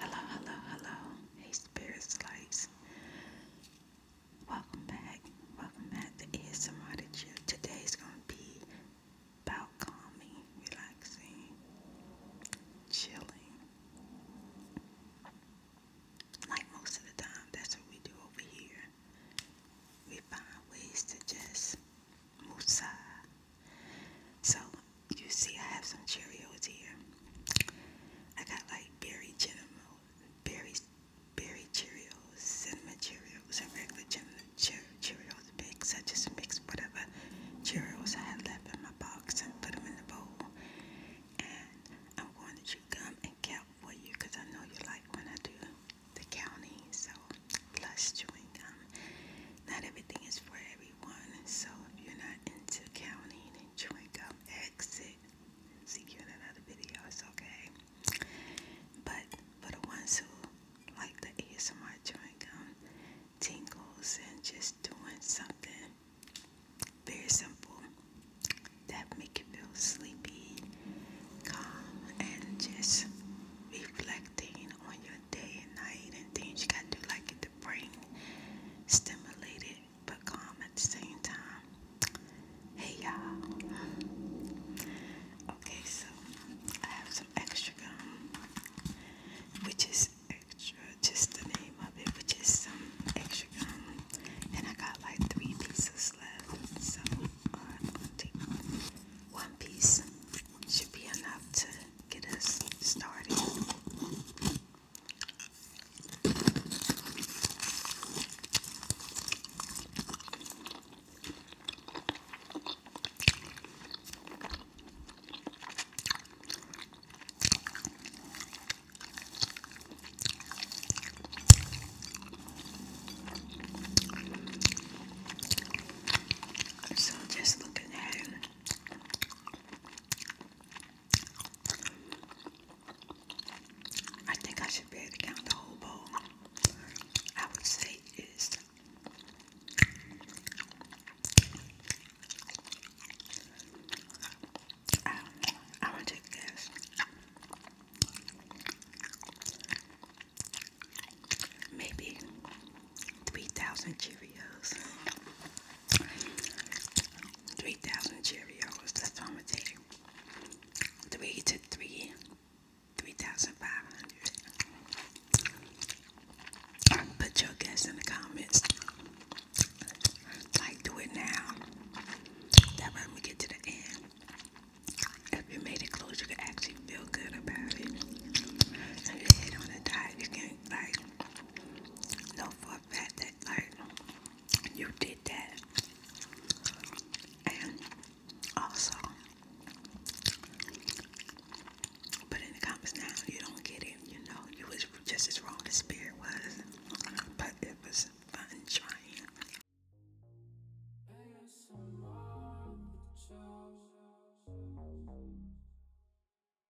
Hello, hello, hello. Hey, Spirit Slice. Welcome back. Welcome back to ASMR the Gym. Today's going to be about calming, relaxing, chilling. Like most of the time, that's what we do over here. We find ways to just move side so you see, I have some Cheerios here. I got like berry Genom berry berry Cheerios, cinnamon Cheerios, and regular Cheerios, Cheerios mix. I just mixed whatever Cheerios I had left in my box and put them in the bowl. And I'm going to chew gum and count for you because I know you like when I do the counting. So plus chewing gum. Not everything is for everyone everyone. So if you're not into counting and chewing gum, exit. See you in another video. It's okay. But for the ones who like the ASMR chewing tingles and just doing something very simple that make you feel sleepy, calm, and just reflecting on your day and night and things. You gotta do like it to bring stimulated but calm at the same time. Hey y'all. Okay, so I have some extra gum, which is extra, just the name of it, which is some extra gum. And I got like three pieces left, so uh, one piece should be enough to get us started. So, just looking at it, I think I should be able to count the whole bowl. I would say is I, want to take Maybe 3,000 Cheerios. 3,000 Cheerios. That's what I'm going to take. 3 to 3. 3,500. Put your guess in the comments. Like, do it now. That way we get to the end. If you made it close, you can actually feel good about it. And you hit on the diet, you can, like, know for a fact that like you did that. And also but in the comments now you don't get it, you know, you was just as wrong as spirit was. But it was fun trying.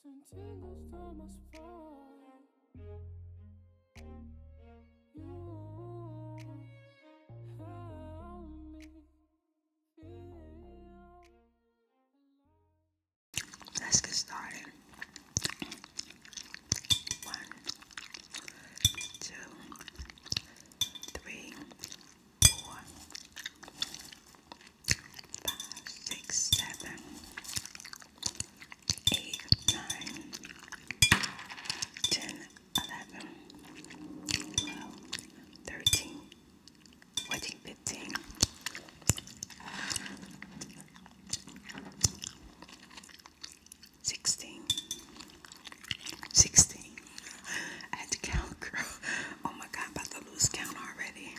Sentindo os tomas Let's get started. One, two, three, four, five, six, seven, eight, nine, ten, eleven, twelve, I had to count, Oh my god, about to lose count already.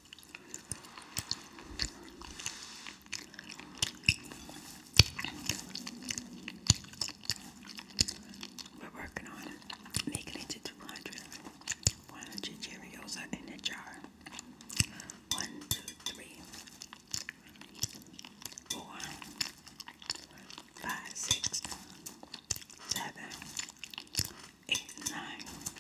We're working on making it to 200. 100 Cheerios are in the jar. One, two, three, four, five, six, seven, eight, nine.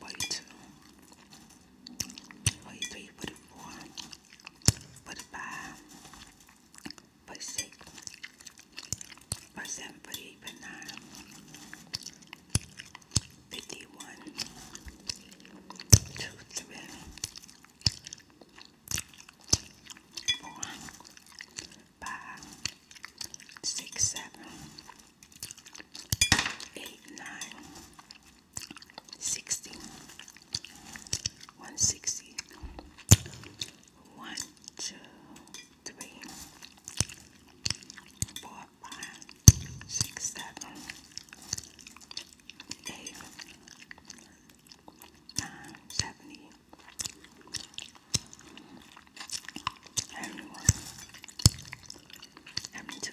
42, 43, 44, 45, 46, 47, 48, 49, 51, 2, 3, 4, 5, 6, 7, 8, 9, sixty, one sixty, one, two, three, four, five, six, seven, eight, nine, seventy, everyone, every two.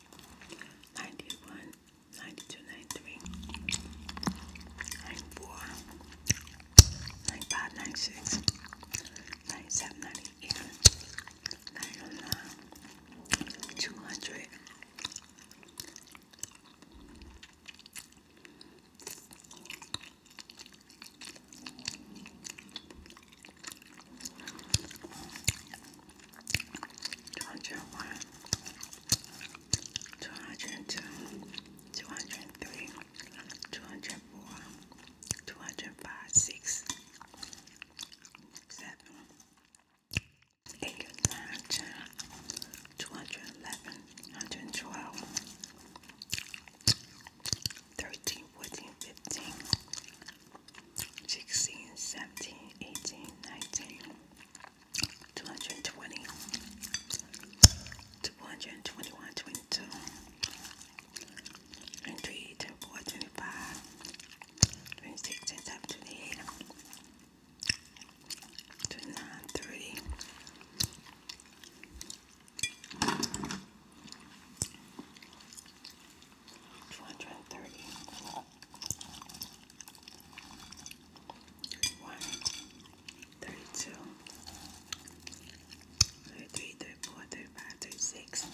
91, 92, 93, 94, 95, 96, 97, 98, 99, 200. 201 202 203 204 205 6 7 8 9 10 211 112 13 14 15 16, 17, 18, 19, 220, 221, 22, 23, 24, 25, 26, 27, 28, 29, 30 two hundred and thirty one thirty two thirty three thirty four thirty five thirty six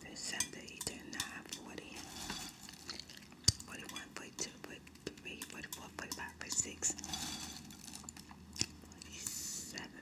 thirty seven thirty eight thirty nine forty forty one forty two forty three forty four forty five forty six forty seven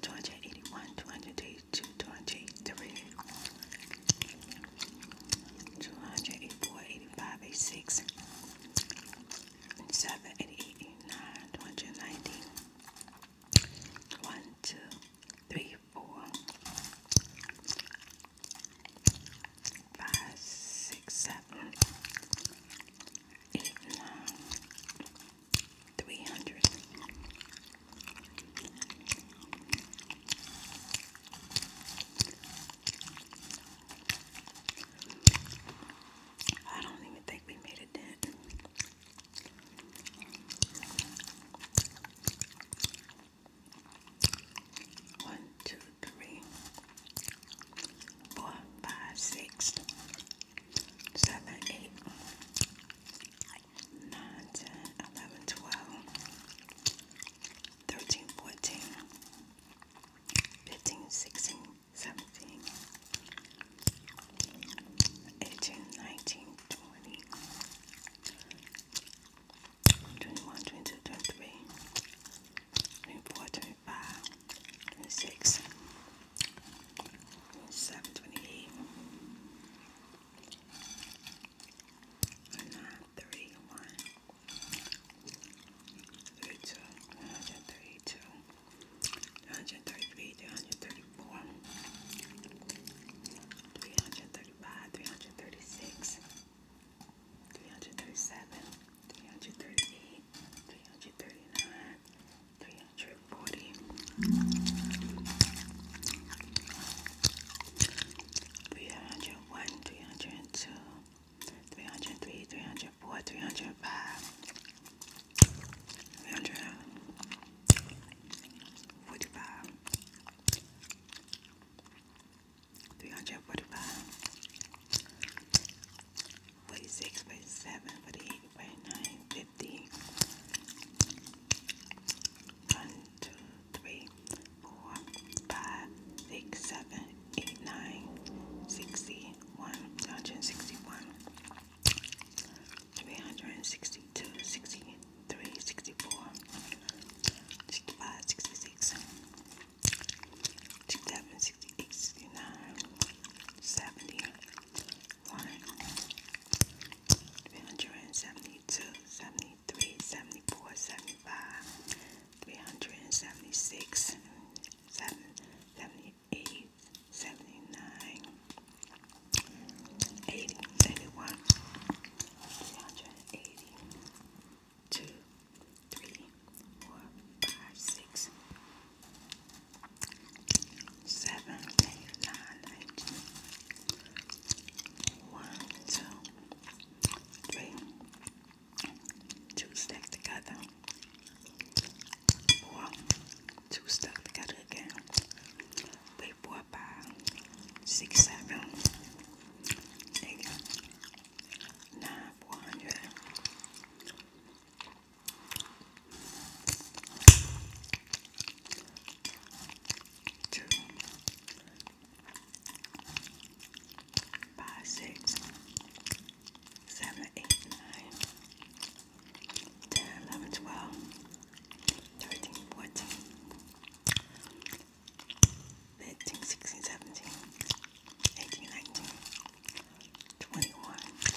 281, 282, 283, 284, 85, 86, 7, 88, 89, 290, 1, 2, 3, 4, 5, 6, 7, 8, 9, three hundred. I don't even think we made a dent. One, two, three, four, five, six, seven, eight, 9, 11, 12, 13, 14, 15, 16, 17, 18, 19, 20, 21, 22, 23, 24, 25, 26, 27, 28, nine, three, one, three, two, one hundred thirty-two, one hundred thirty-three, three hundred thirty-four, three hundred thirty-five, three hundred thirty-six, three hundred thirty-seven, three hundred thirty-eight, three hundred thirty-nine, three hundred booty. Three hundred one, three hundred two, three hundred three, three hundred four, three hundred five, three hundred forty five, three hundred forty five, forty six, forty seven, forty eight, forty nine, fifty. One, two, three, four, five, six, seven, eight, nine, sixty one, hundred sixty one, three hundred sixty two, sixty three, sixty four, sixty five, sixty six, sixty seven, sixty eight, sixty nine, seventy, 372, 73, 74, 75, 376, 7, 78, 79, 80, 81, 382, 3, 4, 5, 6, seven, eight, nine, eight. One, two, three. Two stack together. Four. Two stuck together again. Three, four, five, six, seven, eight, nine, four hundred two, five, six, seven, eight, nine, ten, eleven, twelve, thirteen, fourteen, fifteen, sixteen, seventeen, eighteen, nineteen, twenty-one, twenty-two.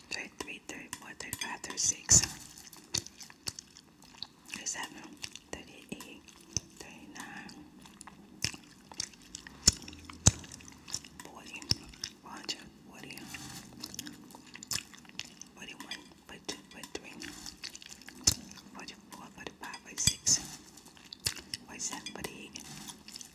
33, 34, 35, 36, 37, 38, 39, 40, 41, 42, 43, 44, 45, 46, 47, 48,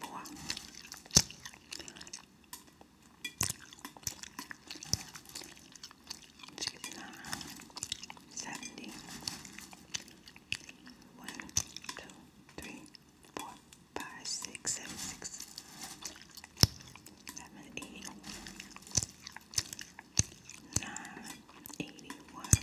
four. Sixty-nine, seventy, one, two, three, four, five, six, seven, six, seven, eight, nine, eighty-one,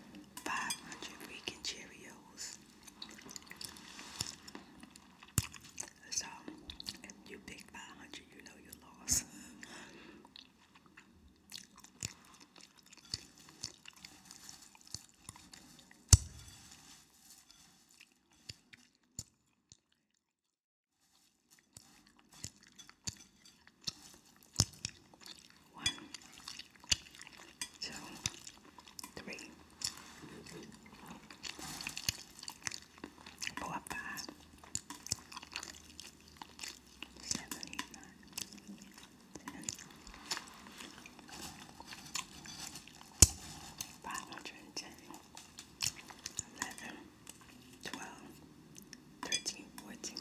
500 freaking Cheerios. So, if you pick 500, you know you lost. One, two, three, four, five, seven, eight, nine, ten, five hundred and ten, eleven, twelve, thirteen, fourteen.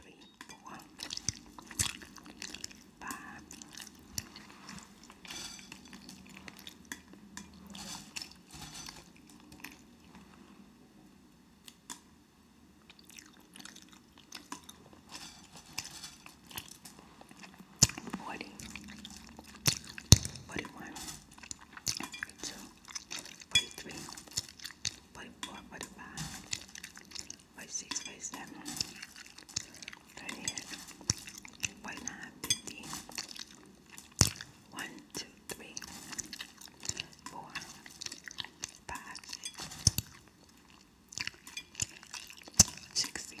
three, four, five, forty, forty-one. 42, 43, 44, 45, 46, 47, 38, 49, 50, 1, 2, 3, 4, 5, 60,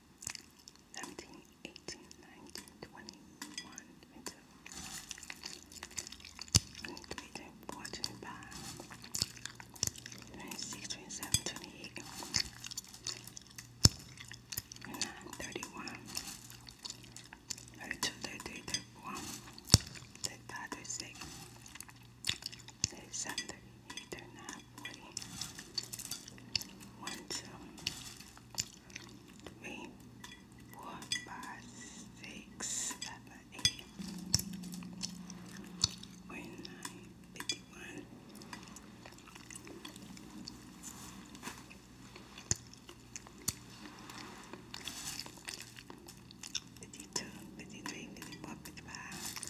17, 18, 19, 21, there's something either not we one, two, three, four, five, six, seven, eight, forty-nine, fifty-one. Fifty two, fifty three, fifty four, fifty five,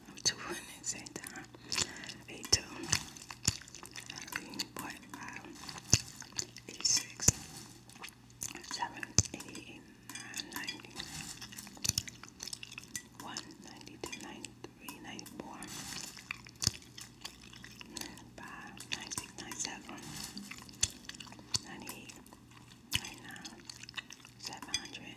two women at the same time. Eight two. Eight point five. Eight six. Seven eighty nine ninety. One ninety two ninety three ninety four. Five ninety nine seven. Ninety eight. Ninety nine. Seven hundred. 999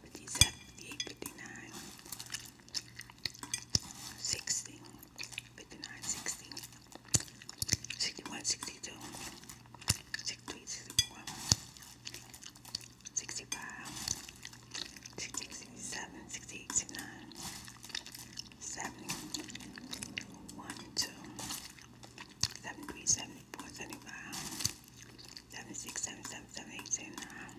57, 58, 59, 60, 59, 60, 61, 62, 63, 64, 65, 66, 67, 68, 69, 70, 1, 2, 73, 74, 75, seven, six, seven, seven, seven, eight, seven, nine,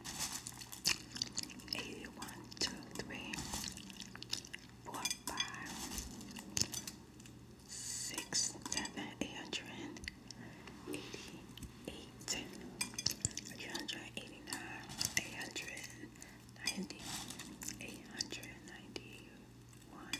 eight, one, two, three, four, five, six, seven, eight hundred eighty-eight, eight hundred eighty-nine, eight hundred ninety, eight hundred ninety-one.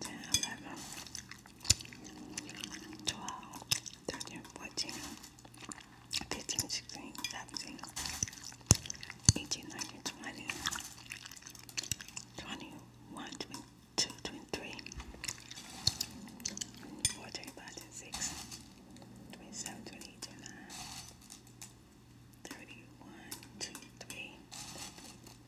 10, 15, 16, 17, 18, 19, 20, 21, 22, 23, 24, 25, 26, 27, 28, 29, 31, 2, 3,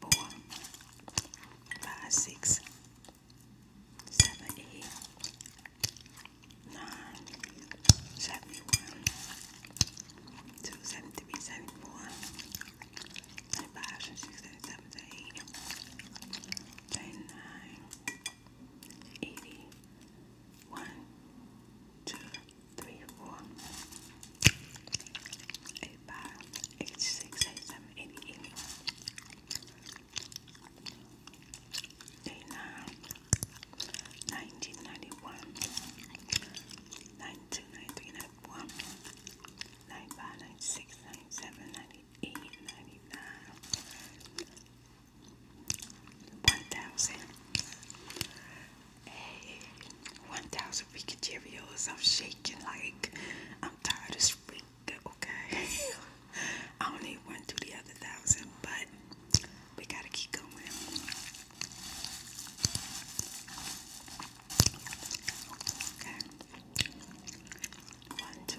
four, five, six, seven, eight, nine, seventy one, two, seven, three, seventy four, seventy five, six, seven, seven, eight, seventy nine, eighty one, two three, four, eight, five, eight, six, eight, seven, eight, eight, eight, nine, nineteen, ninety-one, ninety-two, ninety-three, ninety-one, ninety-five, ninety-six, ninety-seven, ninety-eight, ninety-nine, one thousand. 1,000 freaking Cheerios. I'm shaking like I'm tired of spring, okay? I only went through the other thousand, but we gotta keep going. Okay. One, two,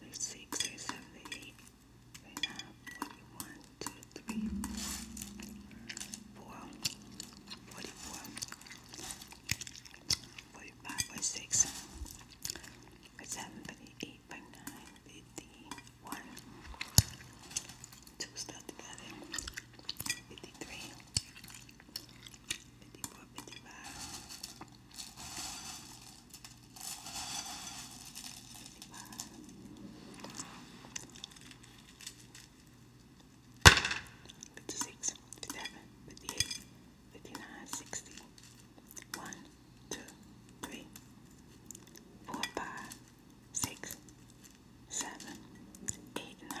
there's six, there's seven, there's eight, there's nine, forty one, two, three, four, forty four, forty five, forty six, forty seven, forty eight, forty nine, fifty one, two stuck together, fifty three, fifty four, fifty five. 56, 57, 58, 59, 51, 2 stuck together, 53, 54, 55, 56, 57, 58, 59, 60, 61, 62, 63, 64, 65, 66, 67, 68, 69, 70, 71, 72, 73, 74, 75, 76, 77, 78, 79, 80, 81, 56, 57, 58, 59, 60, 1, 2, 3, 4, 5, 6, 7, 8, 9,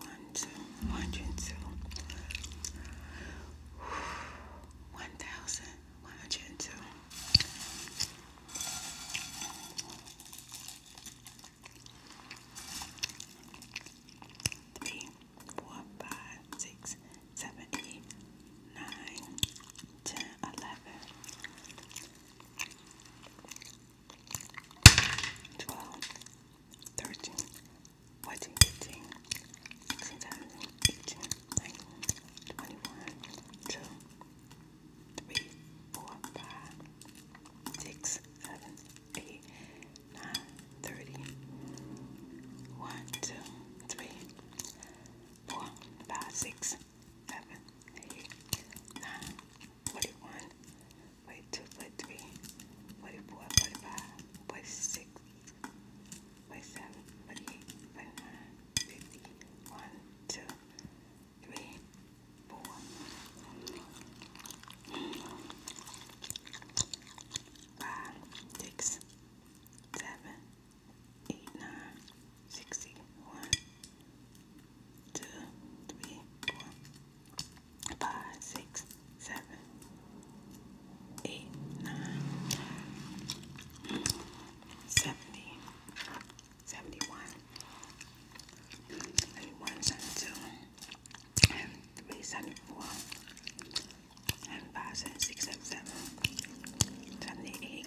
One, two, hundred and two. One thousand, one hundred and two. Three, four, five, six, seven, eight, nine, ten, eleven, 12, 13, 14, 15, 16, 17, 18, 19, 21, 2, 3, 4, 5, 6, 7, 8, 9, 30, 1, 2, 3, 4, 5, 6, seven, eight, nine, forty-one, forty-two, forty-three, forty-four, forty-five, forty-six, forty-seven, forty-eight, forty-nine, fifty, one, two, three, four. Five, six, seven, eight, nine, sixty one, two, three, four, five, six, seven, eight, nine, seventy, seventy one, seventy one, seventy two, and three, seventy four, and five, seventy six, seventy seven, seventy eight.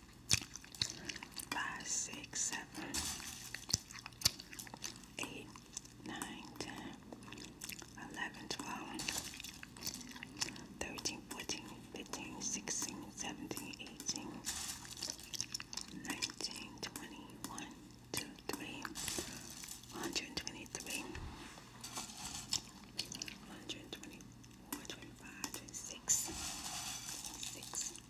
five, six, seven, eight, nine, ten, eleven, twelve, thirteen, fourteen, fifteen, sixteen, seventeen, eighteen, nineteen, twenty, one, two, three, one hundred twenty-three, one hundred twenty-four, twenty-five, twenty-six, twenty-six.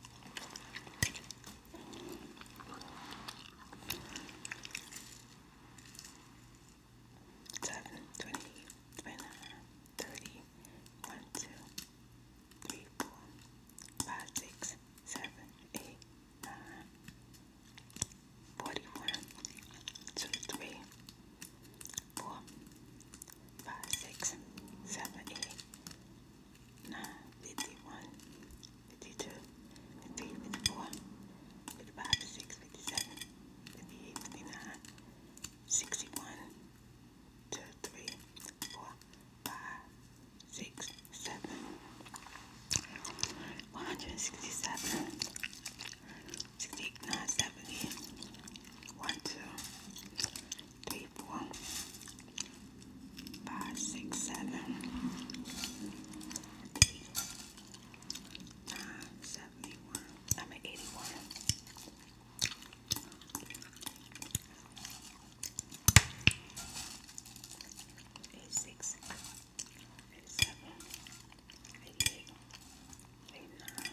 Seven, twenty, twenty-nine, thirty, one, two, three, four, five, six, seven, eight, nine, forty-one, two, three, four, five, six, seven, eight, 51, 52, 53, 54, 55, 56, 57, 58, 59, 61, 2, 3, 4, 5, 6, 7, 167, 68, 9, 70, 1, 2, three, four, five, six, seven, eight, nine, seventy-one. I'm at eighty-one. Eight six, eight seven, eight eight, eight nine,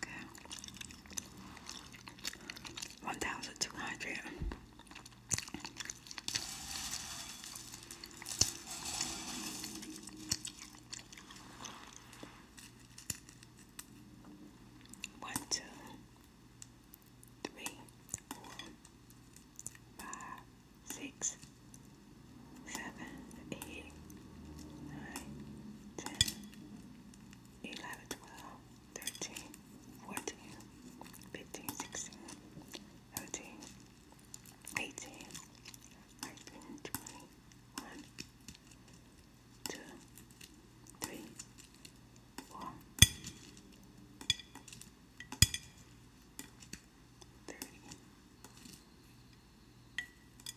Okay. One thousand two hundred. One, two, three, four, five, six, seven, eight, nine, ten, 11, 12, 13, 14, 15, 16, 18, 19, 20, 1, 2, 3, 4, 30,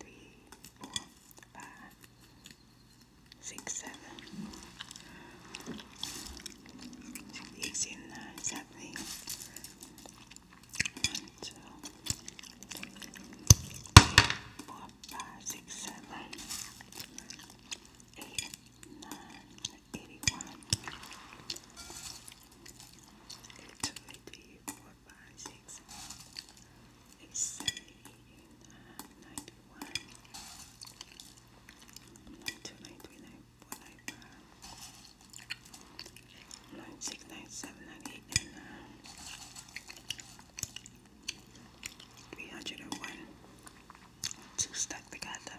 three, four, five, six, seven, eight, seven, nine, seven, eight. One, two, three, four, five, six, seven, eight, nine, eighty-one, eighty-two, eighty-four four, five, six, eight, seven, eight, nine, ninety-one, ninety-two, ninety-three, ninety-four, ninety-five, ninety-six, ninety-seven, ninety-eight, ninety-nine, three hundred and one. Two stuck together.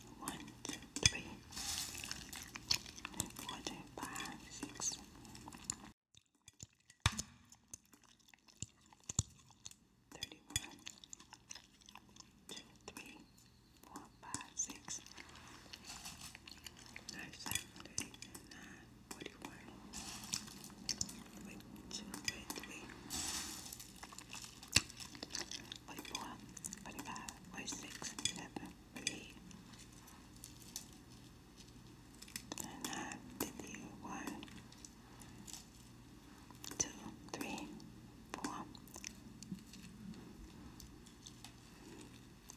one, two, three, four, two, five, six. Thirty-one, two, three, four, five, six, thirty-seven, thirty-nine, forty-one, 44, 45, 46, 47, 48, 49, 51, 2, 3, 4,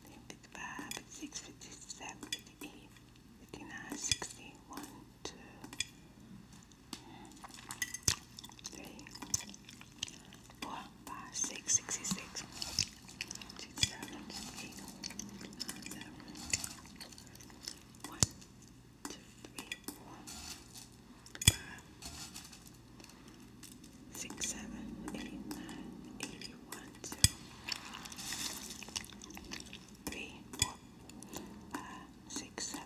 55, 56, 57, 58, 59, 60, 1, 2, three, four, five, six, sixty-six, six, seven, eight, nine, seven, one, two, three, four, five, six, seven, eight, nine, eighty, one, two, three, four, five, six, seven.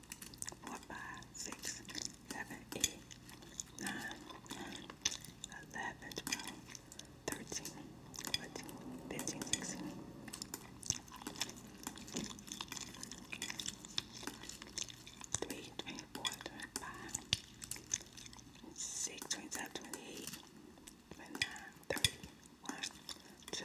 four, five, six, seven, eight, nine, 11, 12, 13, 14, 15, 16. Three, twenty-four, twenty-five, six, twenty-seven, twenty-eight, twenty-nine, thirty, one, two,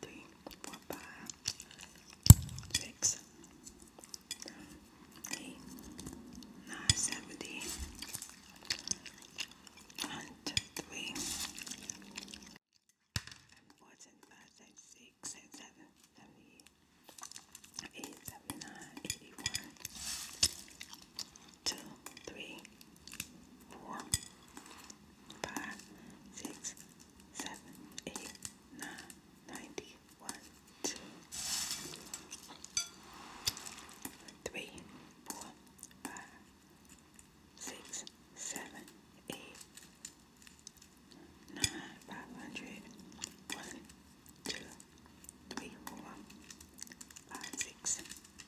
three, four, five, six, eight, nine, seventy. One, two, three, four, seven, five, seven, six, seven, seven, seventy, eight, seventy nine, eighty one two, three, four, five, six, seven, eight, nine, ninety, one, two, three, four, five, six, seven, eight, nine, five hundred, one, two, three, four, five, six,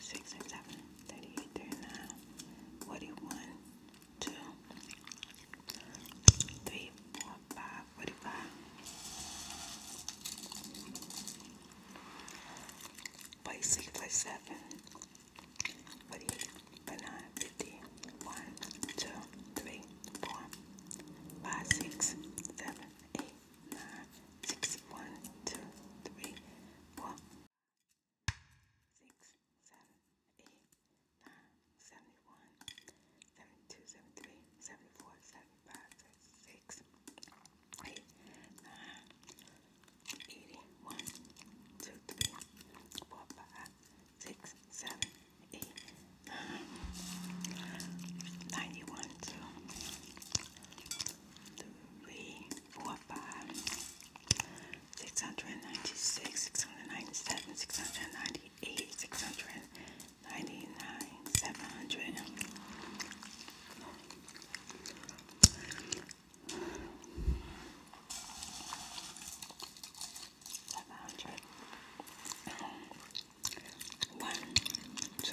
six, six, seven, 38, 39, 41, 2, 3, 4, 5, 45. Forty six, forty seven, forty eight, forty nine, fifty, one, two, three, four, five, six, seven, eight, nine, six, one, two, three, four, six, seven, eight, nine, seventy-one, seventy-two, seventy-three, seventy-four, seventy-five, seventy-six, eight, nine, eighty-one, two, three, four, five, six, seven, eight, nine, ninety-one, two three, four, five, six hundred and ninety-six, six hundred and ninety-seven, six hundred and ninety-eight, six hundred and ninety-nine, seven hundred. Seven hundred. One, two,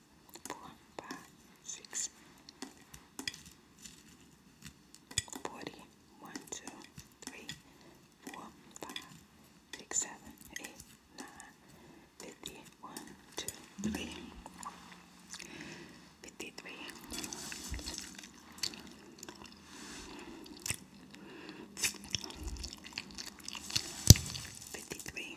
four, five, six, forty, one, two, three, four, five, six, seven, eight, nine, fifty, one, two, three, fifty-three, fifty-three. 53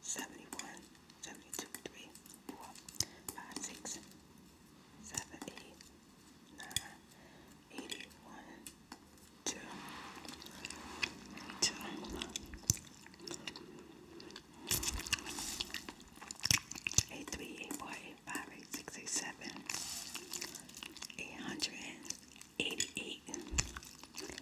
71, 72, 3, 4, 6, 7, 8, 9, 81,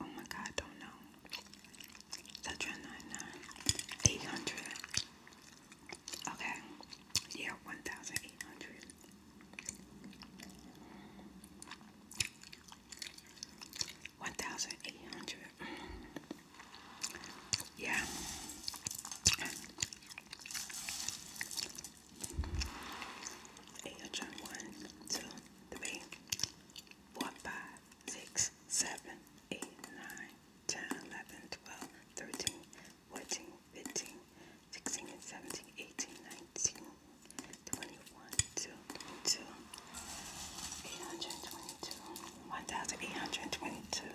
Oh my God, don't know. That's trying Okay, yeah, one thousand eight hundred. One thousand eight hundred. Yeah. Eight hundred one, two, three, 4, 5, 6, 7, 8, 9, 10, 11, 12, 13, 14, 15, 16, 17, 18, 19, 21, 2, 22, 822, 1822,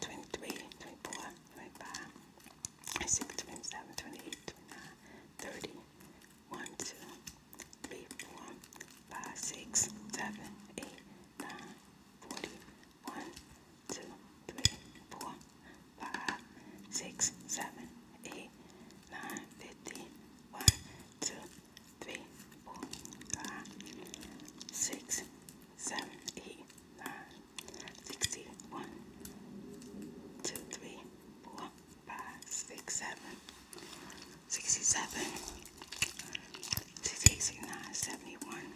23, 24, 25, 26, 27, 28, 29, 30, 1, 2, three, four, five, six, seven, eight, nine, forty, one, two, three, four, five, six, seven, eight, nine, fifty, one, two, three, four, five, six, seven, eight, nine, sixty, one, two, three, four five, six, seven, sixty-seven, sixty-eight, sixty-nine, seventy-one,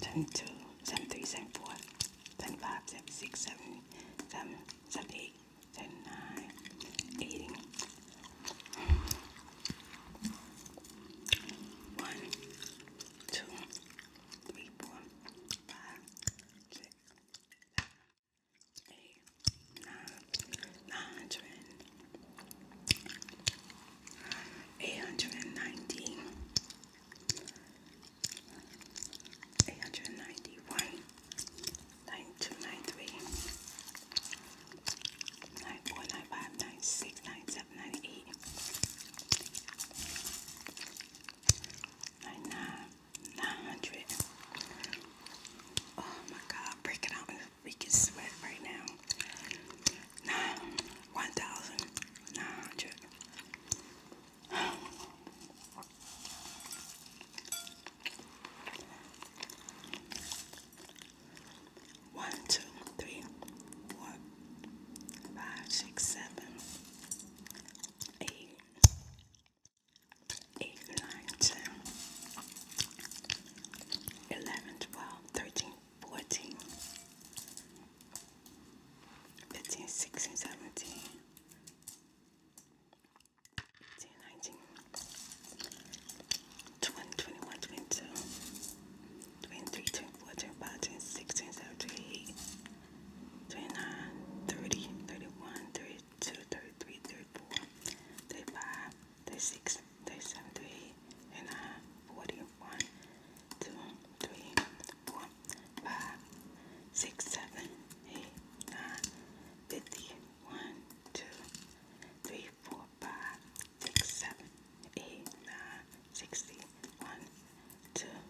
seventy-two, seventy-three, seventy-four, seventy-five, seventy-six, seventy-seven, seventy-eight, seventy-nine, eighty. One, two, three, four, five, six, seven, eight, nine, nine hundred, eight hundred ninety, eight hundred ninety one, nine two, nine three, nine four, nine five, nine six, nine seven, nine eight. 9, like nine, nine hundred. Oh my God, breaking out in the weakest sweat right now. Nine, one thousand nine hundred. One, two, three, four, five, six, seven, Eğil. Eight, nine, ten, eleven, twelve, thirteen, fourteen, fifteen, sixteen, seventeen, eighteen, nineteen, twenty, twenty-one, twenty-two, twenty-three, twenty-four, twenty-five, twenty-six, twenty-seven, twenty-eight, 29, 30, 31, 32, 33, 34, 35, 36, 37, 38, 39, 40, 1, 2, 3, 5, 6, 7, 8, 9, 5, 6, 7, 8, 9, 60, 1, 2,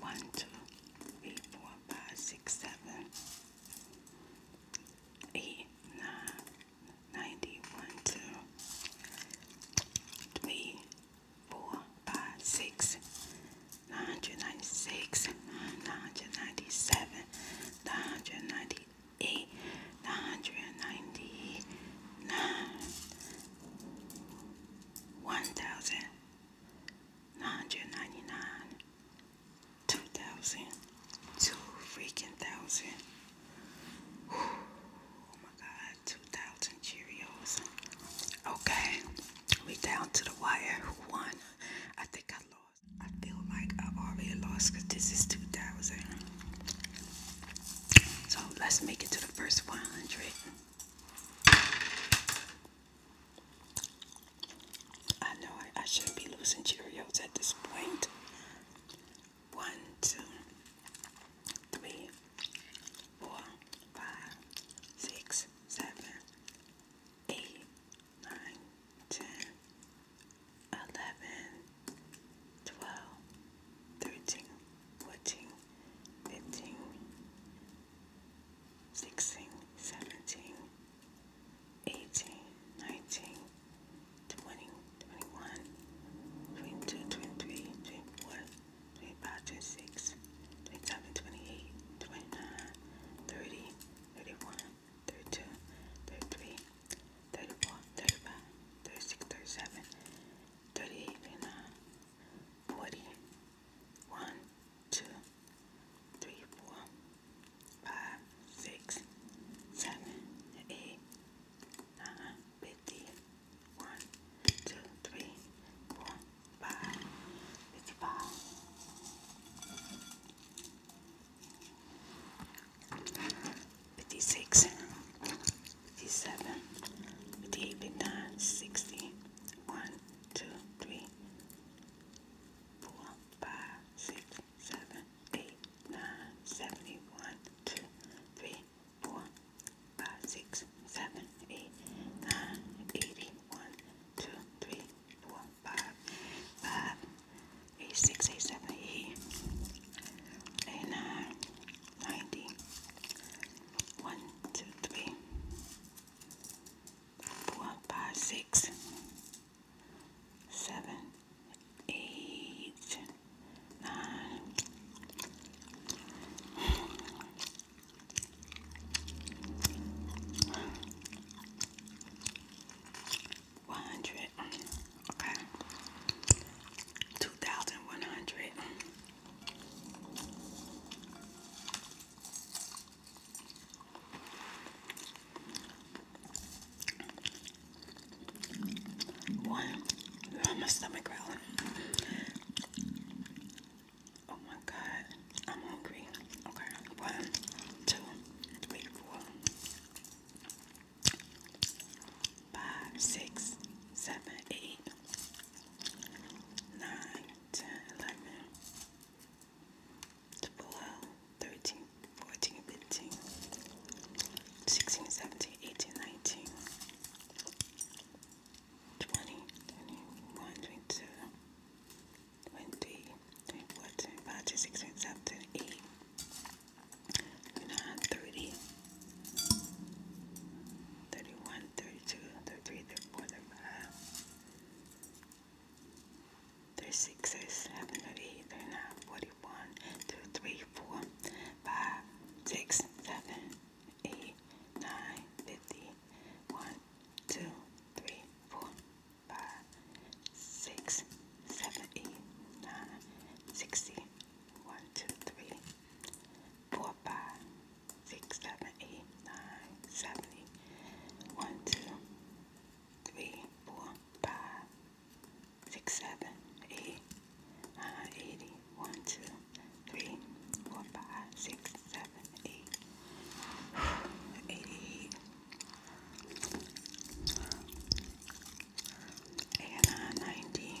One, two, three, four, five, six, seven, eight, nine, ninety, one, two, three, four, five, six, nine hundred ninety-six, nine hundred ninety-seven, nine hundred ninety-eight, nine hundred ninety-nine, one thousand. 999 2000 2 freaking thousand oh my god 2000 cheerios okay we down to the wire who won i think i lost i feel like i already lost because this is 2000 so let's make it to the first 100 I know I, I shouldn't be losing Cheerios at this point. One, two, three, four, five, six, seven, eight, nine, ten, eleven, twelve, thirteen, fourteen, fifteen, 16, 17, 18, 19, 20, 21, 22, 23, 24, 25, 26, 27, 28, 29, 30, 31, 32, 33, 34, 35, 36, 37, 38, 39, 40, one, two, three, four, five, six, seven, eight, nine, fifty. One, two, three, four, five, fifty-five. Fifty-six, fifty-seven, fifty-eight, fifty-nine, sixty. One, two, three, four, five, six, seven, eight, nine, seventy, one, two, three, four, five, six, seven, eight, nine, eighty, one, two, three, four, five, five, eight, six, eight, seven, eight, eight, nine, ninety. 91, 92, 93, 94, one, two, three, four, five, okay, two thousand one hundred. One, oh, my stomach growling. Oh my god, I'm hungry. Okay, one, two, three, four, five, six, seven, eight, nine, 10, 11, 12, 13, 14, 15, 16, 17, 18, 19, 20, 21, 22, 23, 24, 25, 26, 27, 28, 29, 30, 31, 32, 33, 34, 35, 36, 37, 38, 39, 41, 2, 3, 4, 5, 6, 7, 8, 9, 50, 1, 2, 3, 4, 5, 6, 7, 8, 9, 60, 1, 2, 3, 4, 5, six, seven, eight, nine, seventy, one, two, three, four, five, six, seven, eight, nine, eighty, one, two, three, four, five, six, seven, eight, eighty, eighty nine, uh, ninety.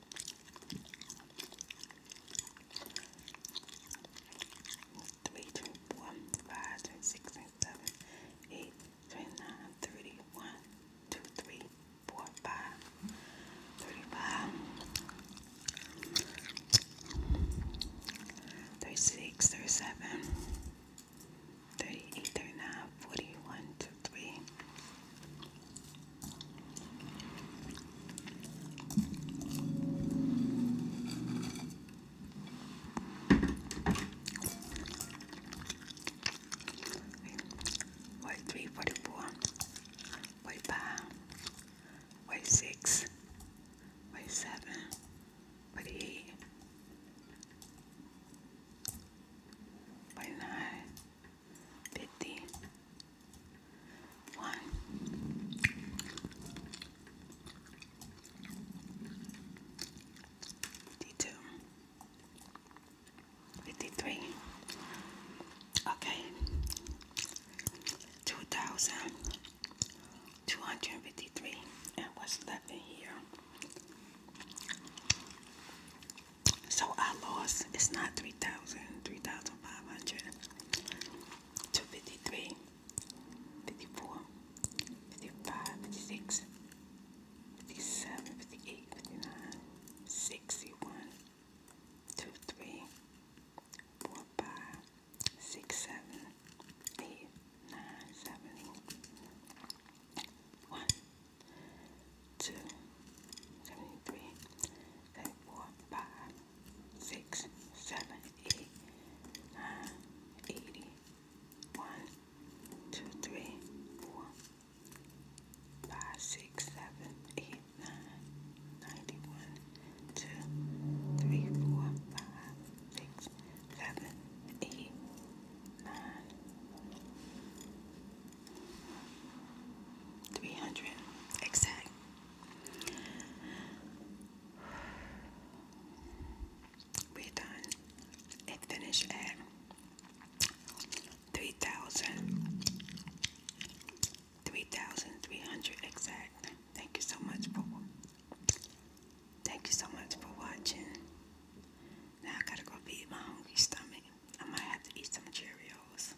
3, 4, 6, 7, 8, 3, 4, 43, 44, 45, 46, 47, 48, 49, fifty Fifty-two. Fifty-three. Okay. Two thousand two hundred and fifty-three. And what's left in here? So I lost it's not three thousand, three thousand five hundred. 253, 54, 55, 56, 57, 58, 59, 61, 2, 3, 4, 5, 6, 7, 8, 9, 7, 1, 2, 73, 74, 5, six, seven, eight, nine, eighty. One, two, three, four, five, six, seven, eight, nine, ninety-one, two, three, four, five, six, seven, eight, nine, three hundred exact. We're done. It finished at three thousand three thousand three hundred exact. Thank you so much for thank you so much for watching. Now I gotta go feed my hungry stomach. I might have to eat some Cheerios.